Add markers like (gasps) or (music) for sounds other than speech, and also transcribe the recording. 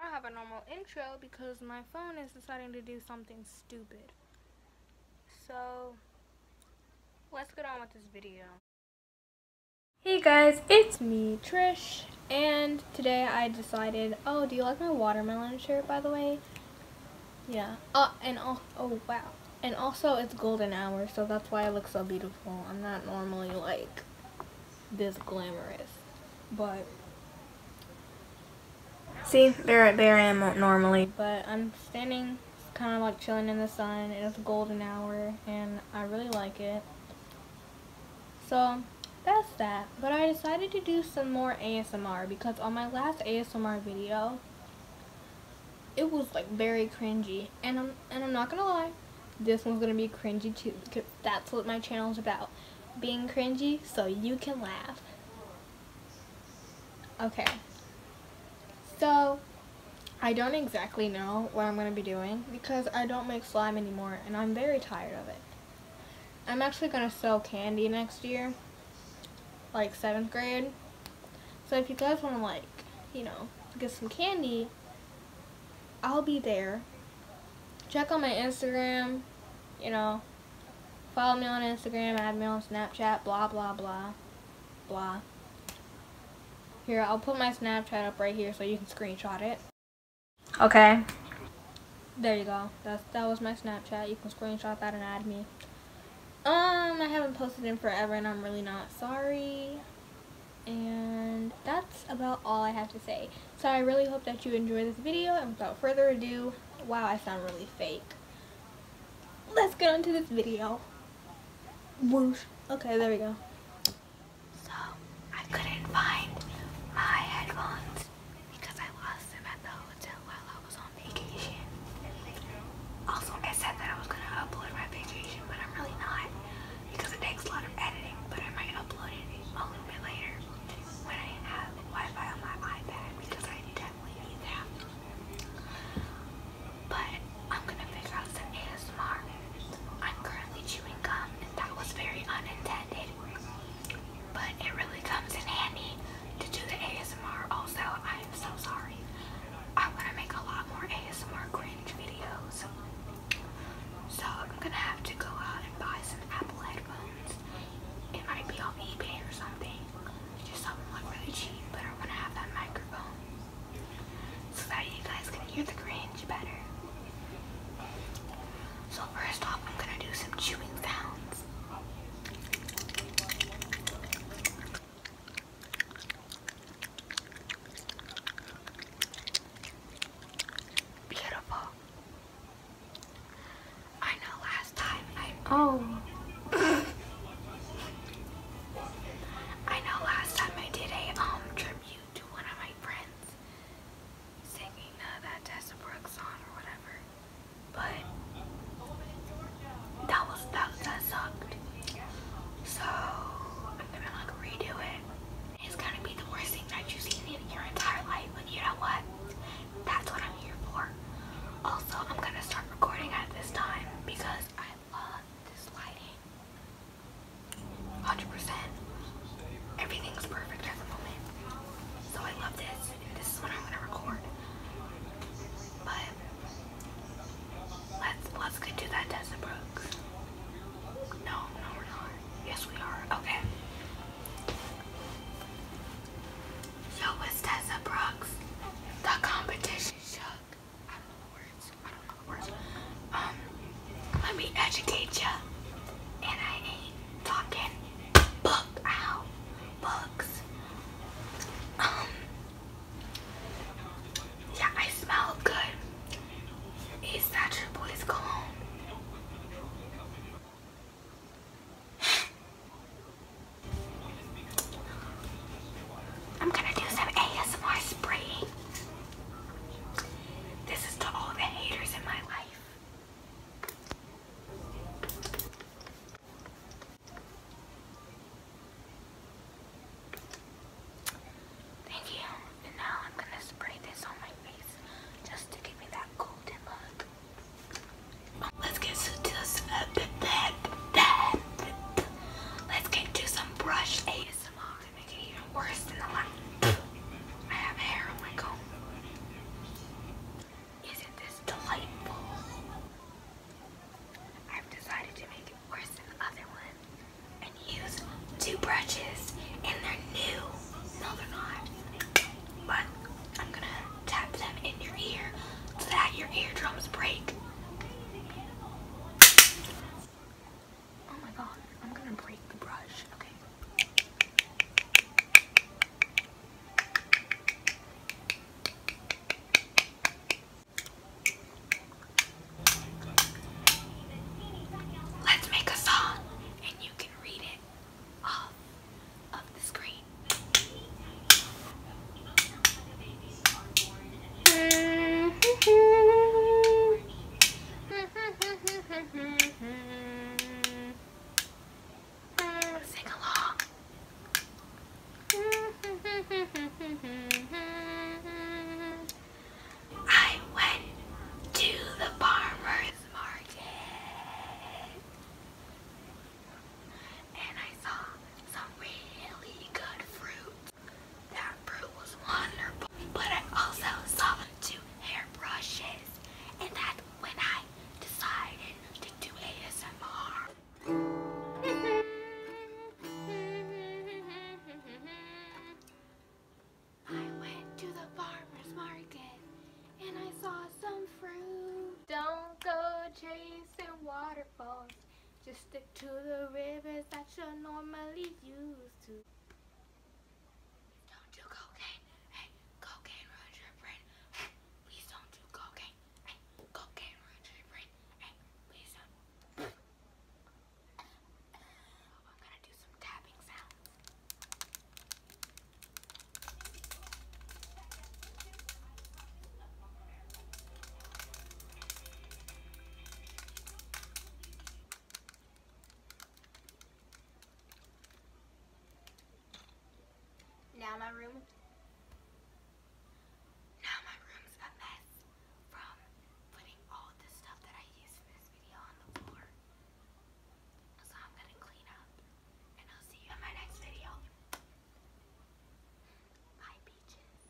I have a normal intro because my phone is deciding to do something stupid. So, let's get on with this video. Hey guys, it's me, Trish, and today I decided, oh, do you like my watermelon shirt, by the way? Yeah, Oh, and oh, oh, wow. And also, it's golden hour, so that's why I look so beautiful. I'm not normally, like, this glamorous. But see, there there I am normally. But I'm standing, kind of like chilling in the sun. It is golden hour, and I really like it. So that's that. But I decided to do some more ASMR because on my last ASMR video, it was like very cringy, and I'm and I'm not gonna lie, this one's gonna be cringy too that's what my channel is about. Being cringy so you can laugh. Okay. So, I don't exactly know what I'm going to be doing because I don't make slime anymore and I'm very tired of it. I'm actually going to sell candy next year, like 7th grade. So if you guys want to like, you know, get some candy I'll be there. Check on my Instagram, you know. Follow me on Instagram, add me on Snapchat, blah, blah, blah, blah. Here, I'll put my Snapchat up right here so you can screenshot it. Okay. There you go. That's, that was my Snapchat. You can screenshot that and add me. Um, I haven't posted in forever and I'm really not sorry and that's about all I have to say. So I really hope that you enjoy this video, and without further ado, wow, I sound really fake. Let's get on to this video. Whoosh. Okay, there we go. So, I couldn't find my headphones because I lost them at the hotel while I was on vacation. Also, I said that I was going to upload my vacation, but I'm really not because it takes a lot of editing, but I might upload it a little bit later when I have Wi-Fi on my iPad because I definitely need that. But I'm gonna figure out some ASMR. I'm currently chewing gum that was very unintended. But it really comes in handy to do the ASMR also. I'm so sorry. I wanna make a lot more ASMR so I'm gonna have to go out and buy some Apple headphones. It might be on eBay or something. Just something like really cheap, but I wanna have that microphone. So that you guys can hear the cringe better. So first off I'm gonna do some chewing sounds. Beautiful. I know last time I oh I know last time I did a um tribute to one of my friends singing uh, that Tessa Brooks song or whatever. But that was that that sucked. So I'm gonna like redo it. It's gonna be the worst thing that you've seen in your entire life, but you know what? That's what I'm here for. Also, I'm gonna start recording at this time because I love this lighting. 100%. Everything's perfect at the moment. So I love this. This is what I'm gonna record. But Let's let's get to that Tessa Brooks. No, no we're not. Yes we are. Okay. So was Tessa Brooks. The competition shook. I don't know words. I don't know words. Um let me educate ya. And I ain't talking book out books. Um, yeah, I smell good. Is that your boy's cologne? (gasps) I'm gonna do some ASMR spraying. This is to all the haters in my life. Thank you. And now I'm going to spray this on my face just to give me that golden look. Let's get to this. Uh, that, that, Let's get to some brush ASMR to make isn't this delightful? I've decided to make it worse than the other one and use two brushes and they're new. No, they're not. But I'm gonna tap them in your ear so that your eardrums break. Oh my god, I'm gonna break the brush. Okay. Let's make a song and you can read it off of the screen. (laughs) Mm, sing along. (laughs) I went to the farmer's market and I saw some really good fruit. That fruit was wonderful, but I also saw two hairbrushes, and that's when I decided to do ASMR. I went to the farmer's market and I saw some fruit. Don't go chasing waterfalls, just stick to the rivers that you normally used to. Don't do cocaine. Hey, cocaine runs your brain. Hey, please don't do cocaine. Hey, cocaine runs your brain. Hey, please don't. I'm gonna do some tapping sounds. Now my room. Now my room's a mess from putting all the stuff that I used in this video on the floor. So I'm gonna clean up and I'll see you in my next video. Bye, peaches.